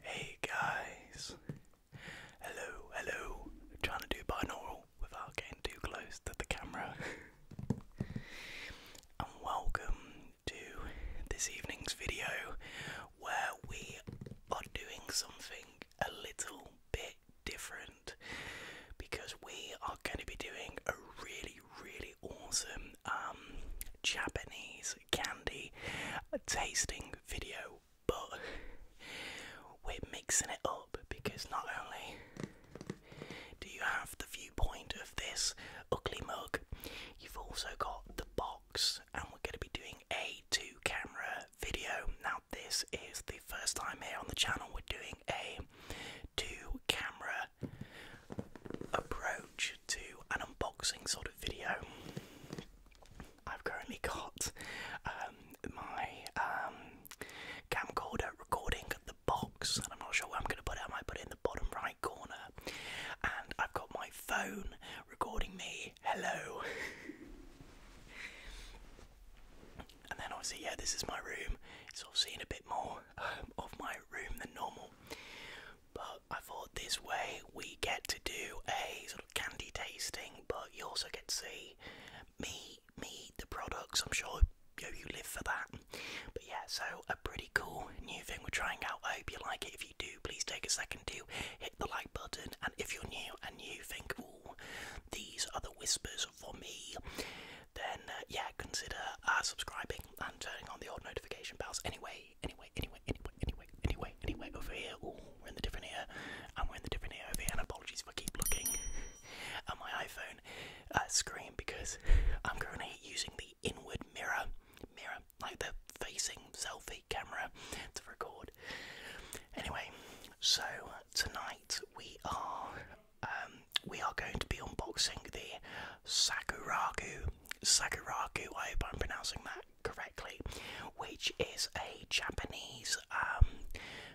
Hey guys, hello, hello. trying to do binaural without getting too close to the camera. and welcome to this evening's video where we are doing something a little bit different because we are going to be doing a really really awesome um, Japanese candy tasting video, but we're mixing it up because not only do you have the viewpoint of this ugly mug, you've also got the box, and we're going to be doing a two camera video. Now, this is the first time here on the channel we're doing a to camera approach to an unboxing sort of video. I've currently got um, my um, camcorder recording the box, and I'm not sure where I'm going to put it. I might put it in the bottom right corner. And I've got my phone recording me. Hello. and then obviously, yeah, this is my room. It's all seen a bit more um, of my room than normal. But I thought this way we get to do a sort of candy tasting, but you also get to see me, me, the products. I'm sure you, live for that. But yeah, so a pretty cool new thing we're trying out. I hope you like it. If you do, please take a second to hit the like button. And if you're new and you think, ooh, these are the whispers for me, then uh, yeah, consider uh, subscribing and turning on the old notification bells. Anyway, anyway, anyway, anyway, anyway, anyway, anyway, over here. Ooh, we're in the different ear, and we're in the different ear over here. And apologies for keep looking at my iPhone uh, screen because I'm currently using the inward mirror, mirror like the facing selfie camera to record. Anyway, so tonight we are um, we are going to be unboxing the Sakuraku. Sakuraku, I hope I'm pronouncing that correctly, which is a Japanese um,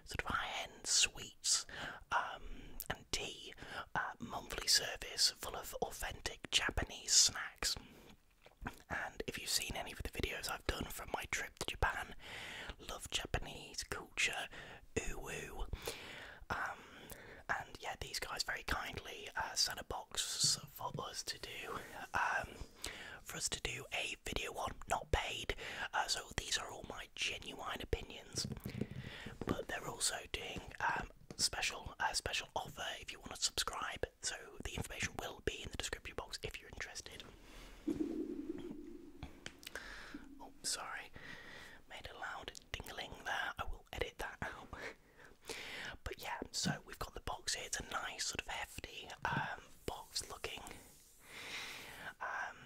sort of high end sweets um, and tea uh, monthly service full of authentic Japanese snacks. And if you've seen any of the videos I've done from my trip to Japan, love Japanese Ooh, ooh. Um, and yeah, these guys very kindly uh, sent a box for us to do, um, for us to do a video on, not paid. Uh, so these are all my genuine opinions, but they're also doing um, special, special offer if you want to subscribe. So the information will be in the description box if you're interested. Oh, sorry. Made a loud dingling there. I will edit that out. but yeah, so we've got the box here. It's a nice, sort of hefty um, box looking. Um,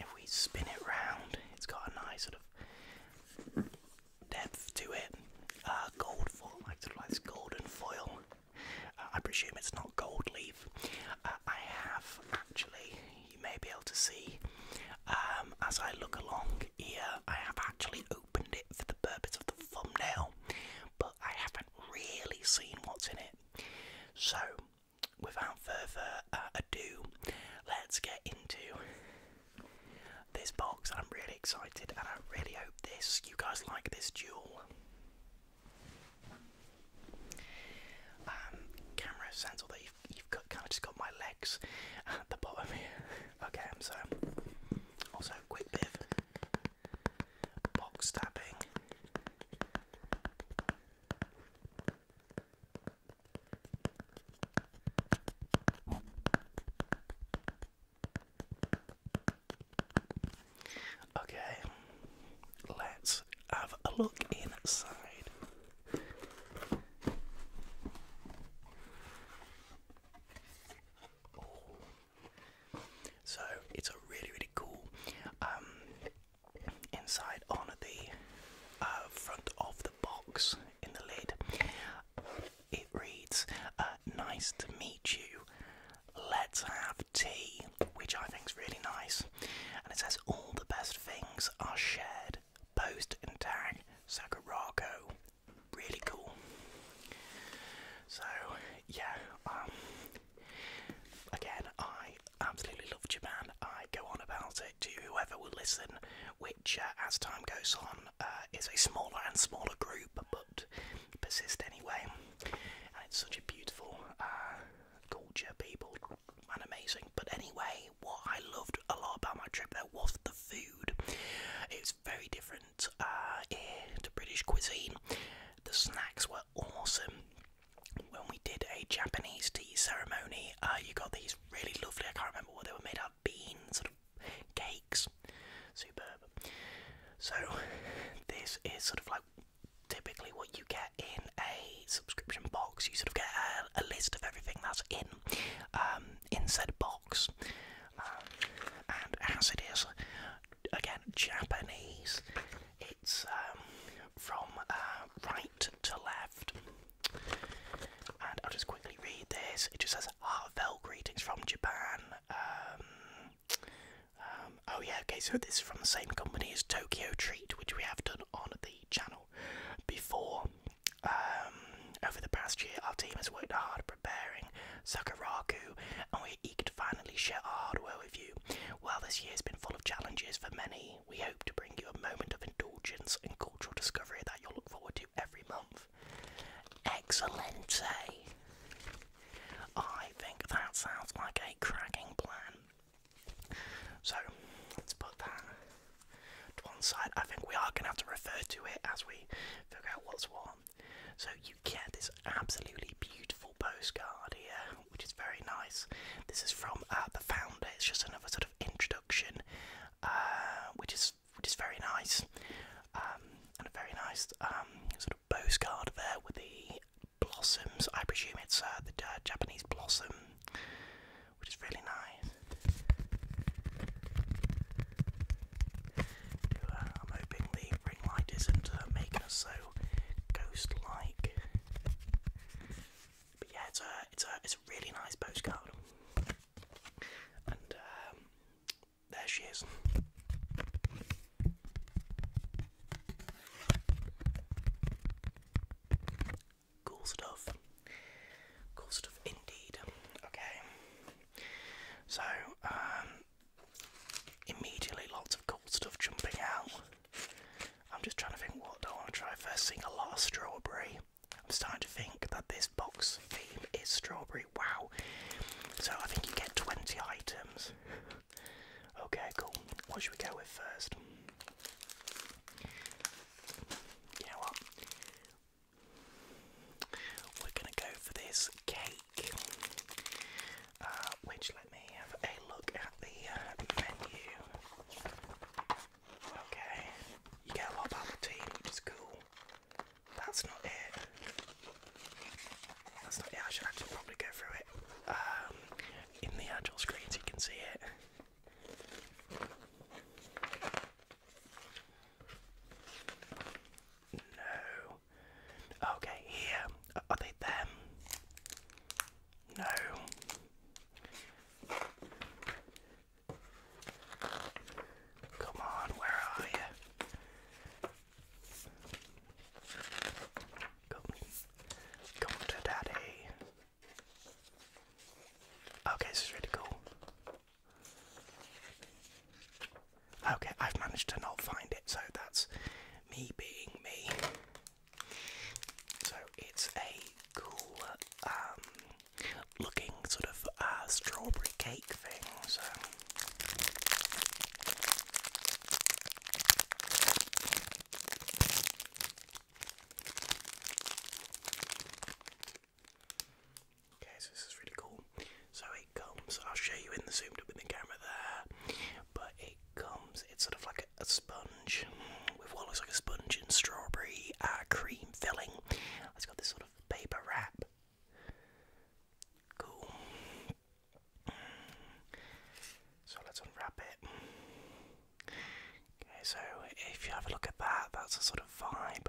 if we spin it round, it's got a nice sort of depth to it. Uh, gold foil, like sort of like this golden foil. Uh, I presume it's not gold leaf. Uh, I have actually, you may be able to see, um, as I look along here, I have actually opened it for the purpose of the thumbnail, but I haven't really seen what's in it. So, without further uh, ado, let's get into this box. I'm really excited and I really hope this you guys like this jewel. Um, camera sensor that you've, kind of just got my legs at the bottom here. Okay, so also quick bit box tapping. Okay, let's have a look inside. So it's a really really cool um, inside on the uh, front of the box in the lid. It reads, uh, "Nice to meet you. Let's have tea," which I think is really nice. And it says all the best things are shared. Post and tag Sakurako. Really cool. So yeah, um again I absolutely love Japan. I go on about it to whoever will listen, which uh, as time goes on uh, is a smaller and smaller group, but persist anyway. And it's such a beautiful uh, culture, people, and amazing. But anyway, what I loved a lot about my trip there was the food. It's very different uh, to British cuisine. The snacks were awesome. When we did a Japanese tea ceremony, uh, you got these really lovely, I can't remember what they were made of, beans, sort of cakes. Superb. So, this is sort of like typically what you you get in a subscription box. You sort of get a, list of everything that's in um, in said box, um, and as it is again Japanese, it's um, from uh, right to left. And I'll just quickly read this. It just says heartfelt greetings from Japan. Um, oh yeah, okay. So this is from the same company as Tokyo Treat, which we have done on the channel before. Um, over the past year, our team has worked hard preparing Sakuraku, and we eager to finally share our hard work with you. While this year has been full of challenges for many, we hope to bring you a moment of indulgence and cultural discovery that you'll look forward to every month. Excellent! Eh? I think that sounds like a cracking plan. So let's put that to one side. I think we are going to have to refer to it as we figure out what's what. So you get this absolutely beautiful postcard here, which is very nice. This is from uh, the founder. It's just another sort of introduction, uh, which is which is very nice, um, and a very nice um, sort of postcard there with the blossoms. I presume it's uh, the Japanese blossom which is really nice. Uh, I'm hoping the ring light isn't uh, making us so ghost-like. But yeah, it's a it's a it's a really nice postcard, and um, there she is. Cool stuff. Cool stuff indeed. Okay. So, um, immediately lots of cool stuff jumping out. I'm just trying to think what I want to try first. Seeing a lot strawberry. I'm starting to think that this box theme is strawberry. Wow. So I think you get 20 items. okay, cool. What should we go with first? You know what? We're gonna go for this cake, uh, which let me have a look at the uh, menu. Okay, you get a which is cool. That's not it. That's not it. I should actually probably go through it. Um, in the actual screens, you can see it. No. Okay, here. Are they them? No. Come on, where are you? Come, come to daddy. Okay, this is really cool. Okay, I've managed to not find it, so that's me being me. So it's a cool um, looking sort of uh, strawberry cake thing, Okay, so this is really cool. So it comes, I'll show you in the zoomed up in the camera there, but it comes, it's sort of like a, sponge with what looks like a sponge and strawberry uh, cream filling. It's got this sort of paper wrap. Cool. So let's unwrap it. Okay, so if you have a look at that, that's a sort of vibe.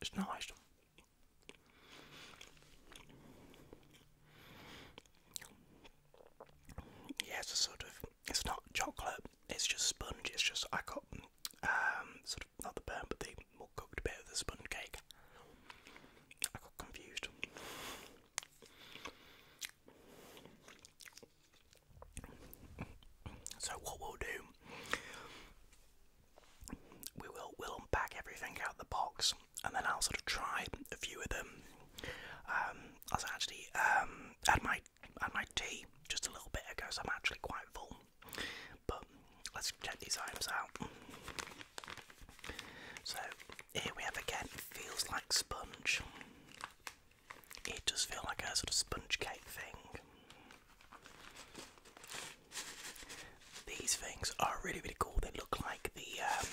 It's nice. Yeah, it's sort of, it's not chocolate, it's just sponge, it's just, I got um, sort of, not the burn, but the more cooked bit of the sponge cake. I got confused. So, what we'll do we will we'll unpack everything out of the box, and then I'll sort of try a few of them. Um, I was actually um, had my had my tea just a little bit ago, so I'm actually quite full. But let's check these items out. So here we have again. Feels like sponge. It does feel like a sort of sponge cake thing. These things are really really cool. They look like the um,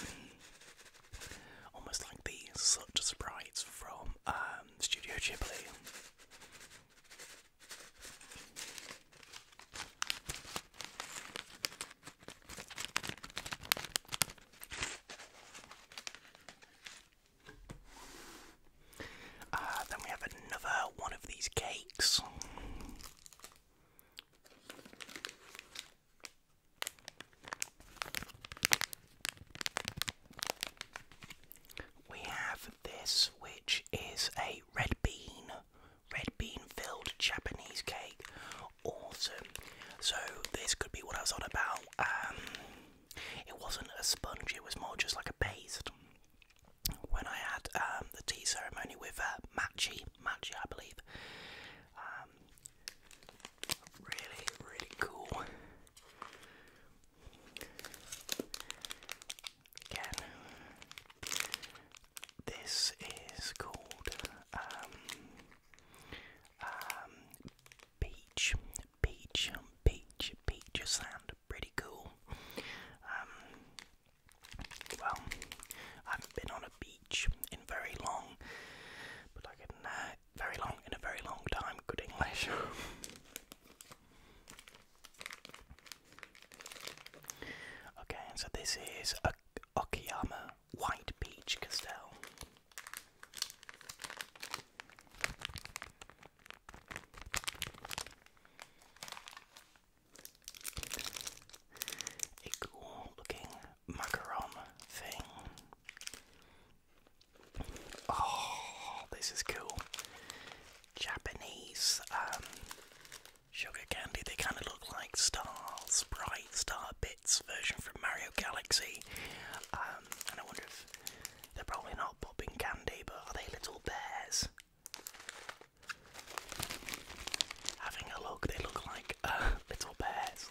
almost like the such sprites from um, Studio Ghibli. Uh, then we have another one of these cakes. We have this, which is a red bean, red bean filled Japanese cake. Awesome. So, this could be what I was on about. Um, it wasn't a sponge, it was more just like a paste when I had um, the tea ceremony with uh, Machi, Machi, I believe. Um, really, really cool. Again, this is called um, um, Peach, Peach, Peach, Peach Sand. Pretty cool. Um, well, I have been on a beach in very long, but I can, uh, very long, in a very long time, good English. okay, so this is a Okayama White Beach Castell a cool looking macaron thing. Oh, this is cool. Japanese um, sugar candy. They kind of look like stars, bright star bits version from Mario Galaxy. Um, and I wonder if they're probably not popping candy, but are they little bears? having a look. They look like uh, little bears.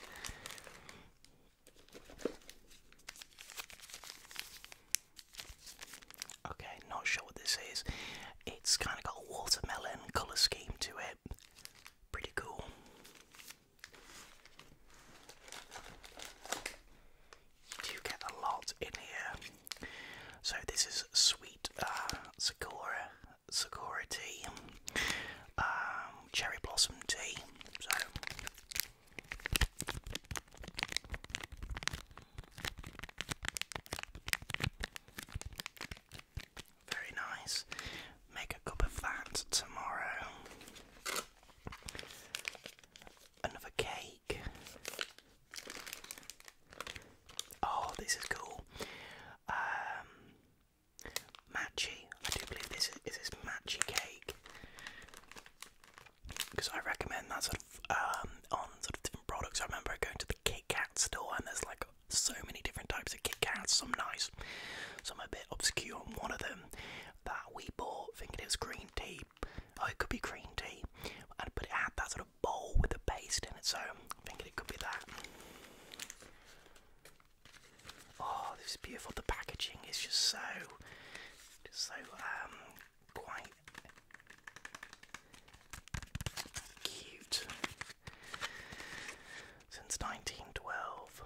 Okay, not sure what this is. It's kind of got a watermelon colour scheme to it. Pretty cool. You get a lot in here. So this is sweet uh, Sakura Sakura tea, um, cherry blossom tea. So. Very nice. Make a cup of that tomorrow. Another cake. Oh, this is cool. Um, matchy. I do believe this is, this matchy cake because I recommend that sort of um, on sort of different products. I remember going to the Kit Kat store and there's like so many different types of Kit Kats. Some nice, some a bit obscure. one of them that we bought, thinking it was green tea. Oh, it could be green tea, but it had that sort of bowl with a paste in its own. I'm thinking it could be that. Oh, this is beautiful. The packaging is just so, so um, quite cute. Since 1912,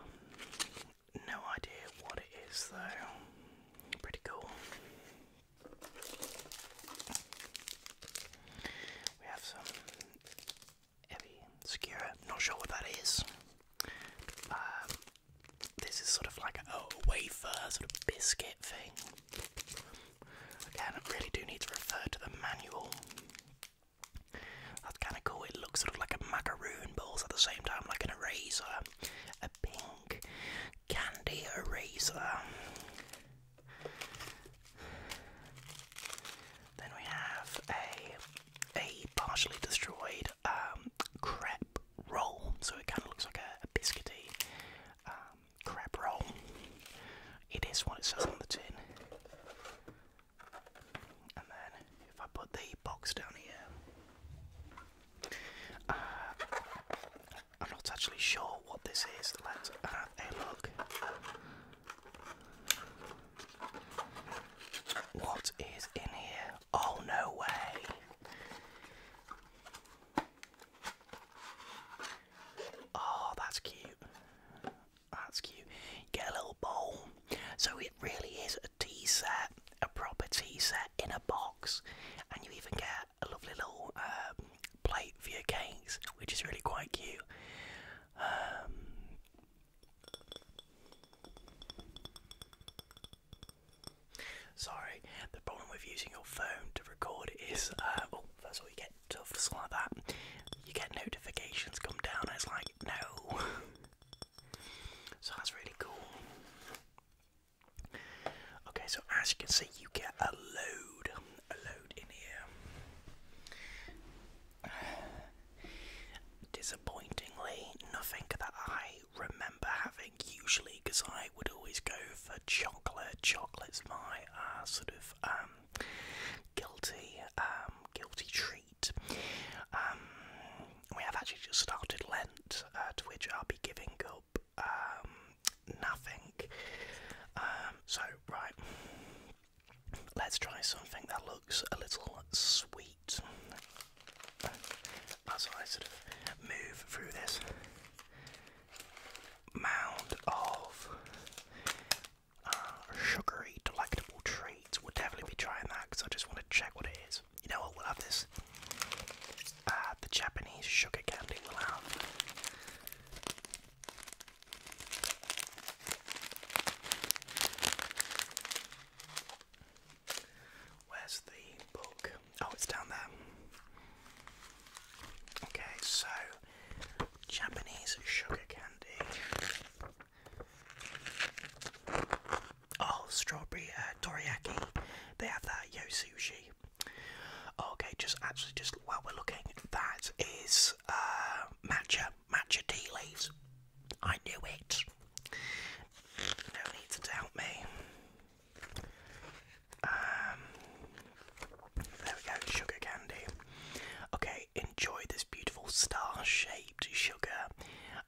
no idea what it is though. Pretty cool. We have some heavy Skira. Not sure what that is. Um, this is sort of like a, wafer, sort of biscuit thing. I Again, not really do need to refer to the manual. That's kind of cool. It looks sort of like a macaroon, balls at the same time like an eraser. A pink candy eraser. Then we have a a partially destroyed um, crepe roll, so it kind of looks like a, biscuity um, crepe roll. It is what it says on the tin. And then, if I put the box down here, uh, I'm not actually sure what this is. Let's have a look. What is in here? Oh, no way. Oh, that's cute. That's cute. get a little bowl. So it really is a tea set, a proper tea set in a box, and you even get a lovely little um, plate for your cakes, which is really quite cute. Um, sorry, the problem with using your phone to record is, uh, first of all, you get stuff like that. You get notifications come down, and it's like, no. so that's really cool. Okay, so as you can see, you get a load a load in here. Disappointingly, nothing that I remember having usually, because I would always go for chocolate. Chocolate's my uh, sort of um, guilty, um, guilty treat. Um, we have actually just started Lent, uh, to which I'll be giving up um, nothing. Um, so, right, let's try something that looks a little sweet as I sort of move through this mound of uh, sugary, delectable treats. We'll definitely be trying that because I just want to check what it is. You know what? We'll have this. Uh, the Japanese sugar candy we Where's the book? Oh, it's down there. Okay, so Japanese sugar candy. Oh, strawberry uh, dorayaki. They have that yosushi. Okay, just actually, just while we're looking, at that is uh, matcha, matcha tea leaves. I knew it. No need to doubt me. Um, there we go, sugar candy. Okay, enjoy this beautiful star-shaped sugar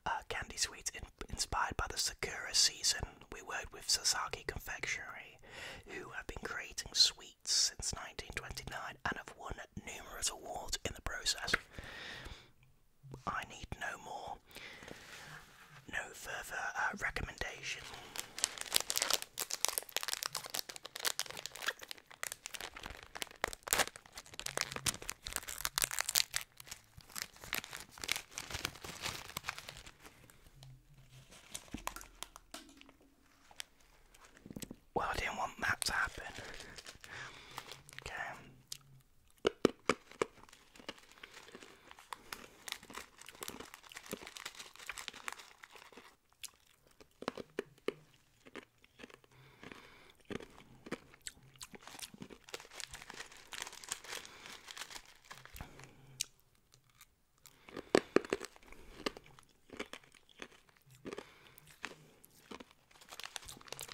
uh, candy sweets inspired by the Sakura season. We worked with Sasaki Confectionery, who have been creating sweet since 1929 and have won numerous awards in the process. I need no more, no further uh, recommendation. Well, I didn't want that to happen. okay.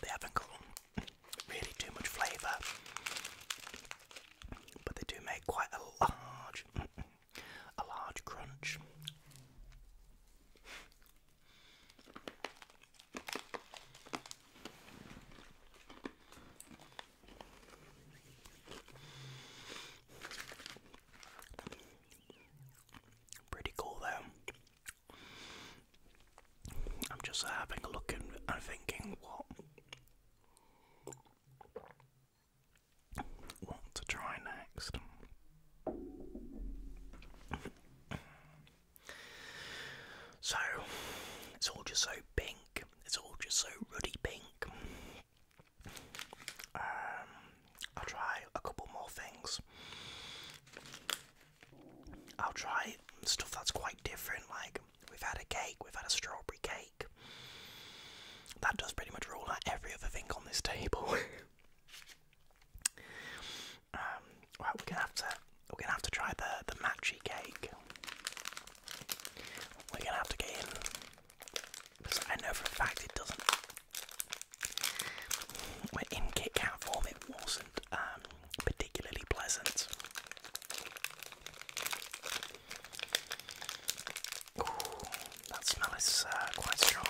They haven't got really too much flavour, but they do make quite a large, a large crunch. Pretty cool though. I'm just having a look and, thinking what what to try next. So it's all just so pink. It's all just so ruddy pink. Um, I'll try a couple more things. I'll try stuff that's quite different, like we've had a cake, we've had a strawberry cake. That does pretty much rule out every other thing on this table. um, right, we're gonna have to we're gonna have to try the the matchy cake. We're gonna have to get in I know for a fact it doesn't. When in Kit Kat form, it wasn't um, particularly pleasant. that smell is uh, quite strong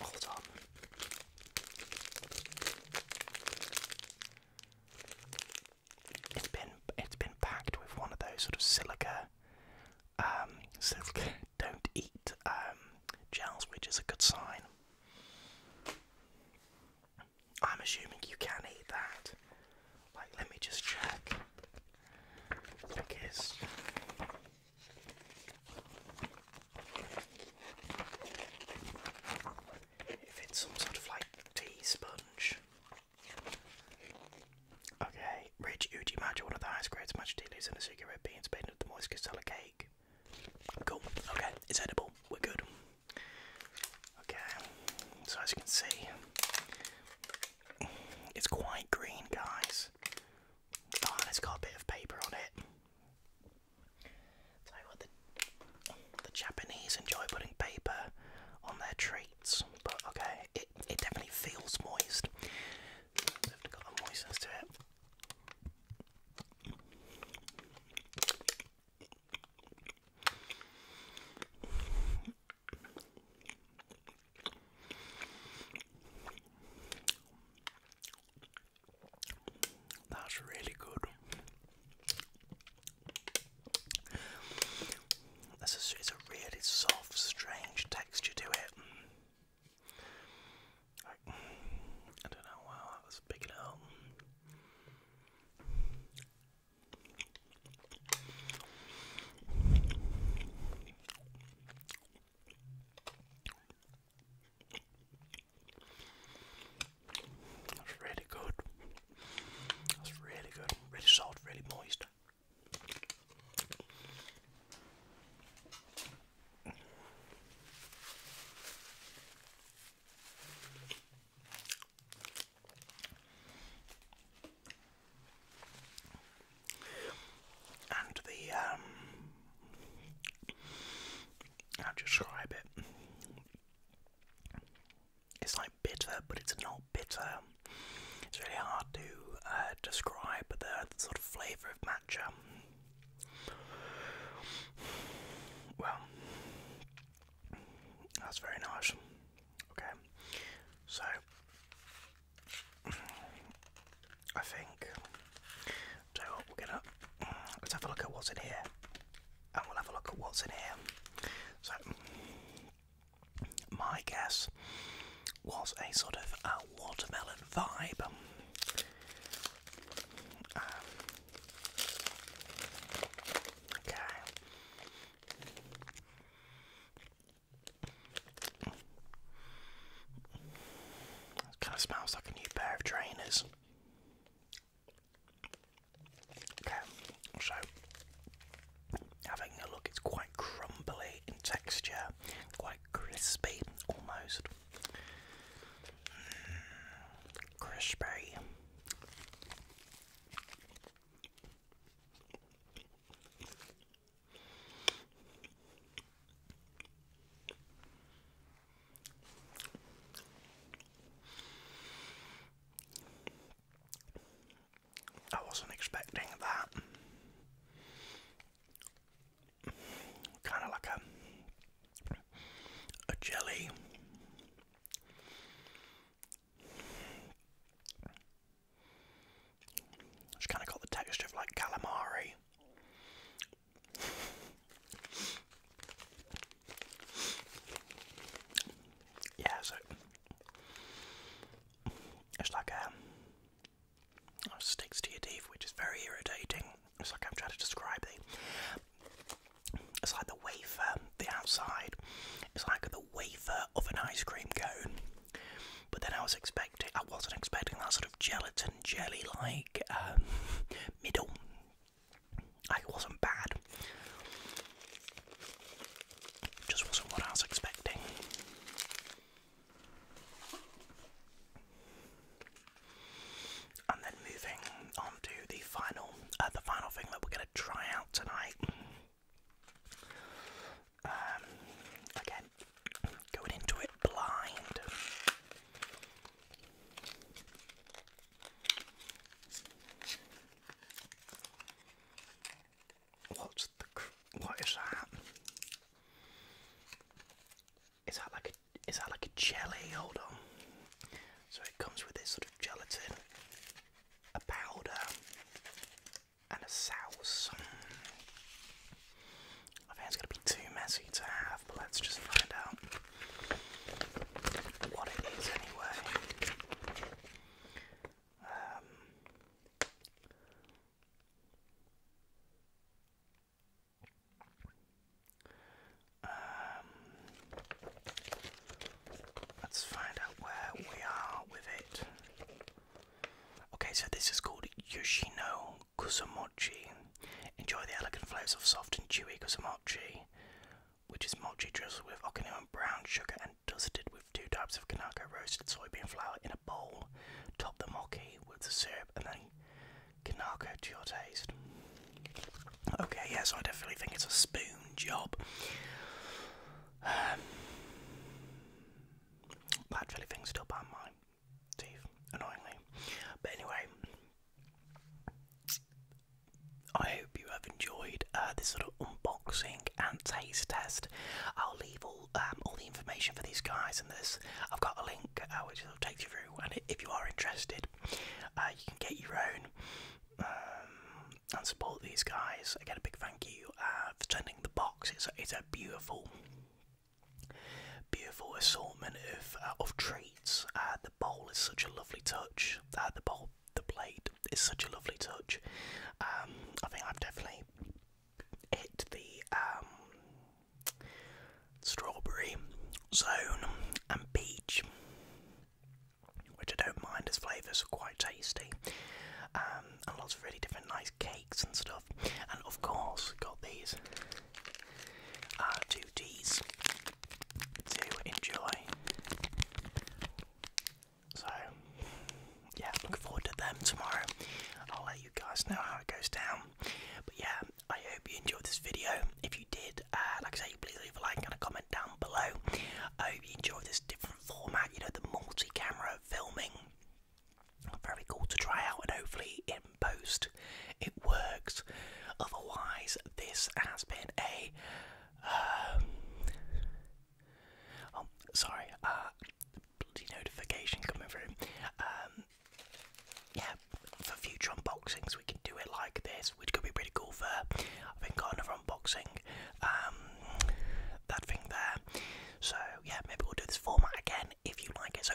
all the It's been it's been packed with one of those sort of silica, um, silica don't eat um, gels, which is a good sign. I'm assuming you can eat that. Like, let me just check. Like, if it's some sort of like tea sponge. Okay, rich Uji matcha, one of the highest grades matcha tea leaves and a cigarette beans made into the moist castella cake. Cool, okay, it's edible, we're good. Okay, so as you can see, it's quite green, guys. Oh, it's got a bit of paper on it. So what the Japanese enjoy putting paper on their treats, but okay, it it definitely feels moist. So have got the moistness to it. That's really good. This is, it's a really soft, strange texture to it. I don't know, wow, that was picking it up. That's really good. That's really good. Really salt, really moist. And the um, I'll describe it. It's like bitter, but it's not bitter. It's really hard to uh, describe the, the sort of flavour of matcha. Well, that's very nice. Okay, so I think so we're gonna let's have a look at what's in here, and we'll have a look at what's in here. So my guess was a sort of watermelon vibe. Um, okay. kind of smells like a new pair of trainers so having a look, it's quite crumbly in texture, quite crispy almost. Mm, crispy. I wasn't expecting that. Kind of like a a jelly. It's kind of got the texture of like calamari, yeah, so it's like a um, it sticks to your teeth, which is very irritating. It's like I'm trying to describe the. It's like the wafer, the outside. It's like the wafer of an ice cream cone. But then I was expecting, I wasn't expecting that gelatin jelly like um, middle. Like wasn't bad. Just wasn't what I was expecting. And then moving on to the final, uh, the final thing that we're going to try out tonight. Um, again, going into it blind. What's that? Is that like a is that like a jelly? Hold on. So it comes with this sort of gelatin, a powder, and a sauce. I think it's going to be too messy to have, but let's just find out what it is anyway. Um, um, let's find out where we are with it. Okay, so this is called Yoshino Kusamochi. Enjoy the elegant flavors of soft and chewy kusamochi, which is mochi drizzled with Okinawan brown sugar and dusted with two types of Kanako roasted soybean flour in a bowl. Top the mochi with the syrup and then Kanako to your taste. Okay, yeah, so I definitely think it's a spoon job. Um, that still by mine teeth, annoyingly. But anyway, I hope you have enjoyed uh, this sort of unboxing and taste test. I'll leave all um, all the information for these guys and this. I've got a link uh, which will take you through, and if you are interested, uh, you can get your own. Um, and support these guys. Again, a big thank you for sending the box. It's a, it's a beautiful Beautiful assortment of uh, of treats. Uh, the bowl is such a lovely touch. Uh, the bowl, the plate is such a lovely touch. Um, I think I've definitely hit the um, strawberry zone and peach, which I don't mind as flavours are quite tasty. Um, and lots of really different nice cakes and stuff. And of course, got these are uh, duties to enjoy. So, yeah, looking forward to them tomorrow. I'll let you guys know how it goes down. But yeah, I hope you enjoyed this video. If you did, uh, like I say, please leave a like and a comment down below. I hope you enjoyed this different format, you know, the multi camera filming. Very cool to try out, and hopefully, it post. It works. Otherwise, this has been a. Um, oh, sorry. Uh, bloody notification coming through. Um, yeah, for future unboxings, we can do it like this, which could be pretty cool. For I think got another unboxing. Um, that thing there. So yeah, maybe we'll do this format again if you like it. So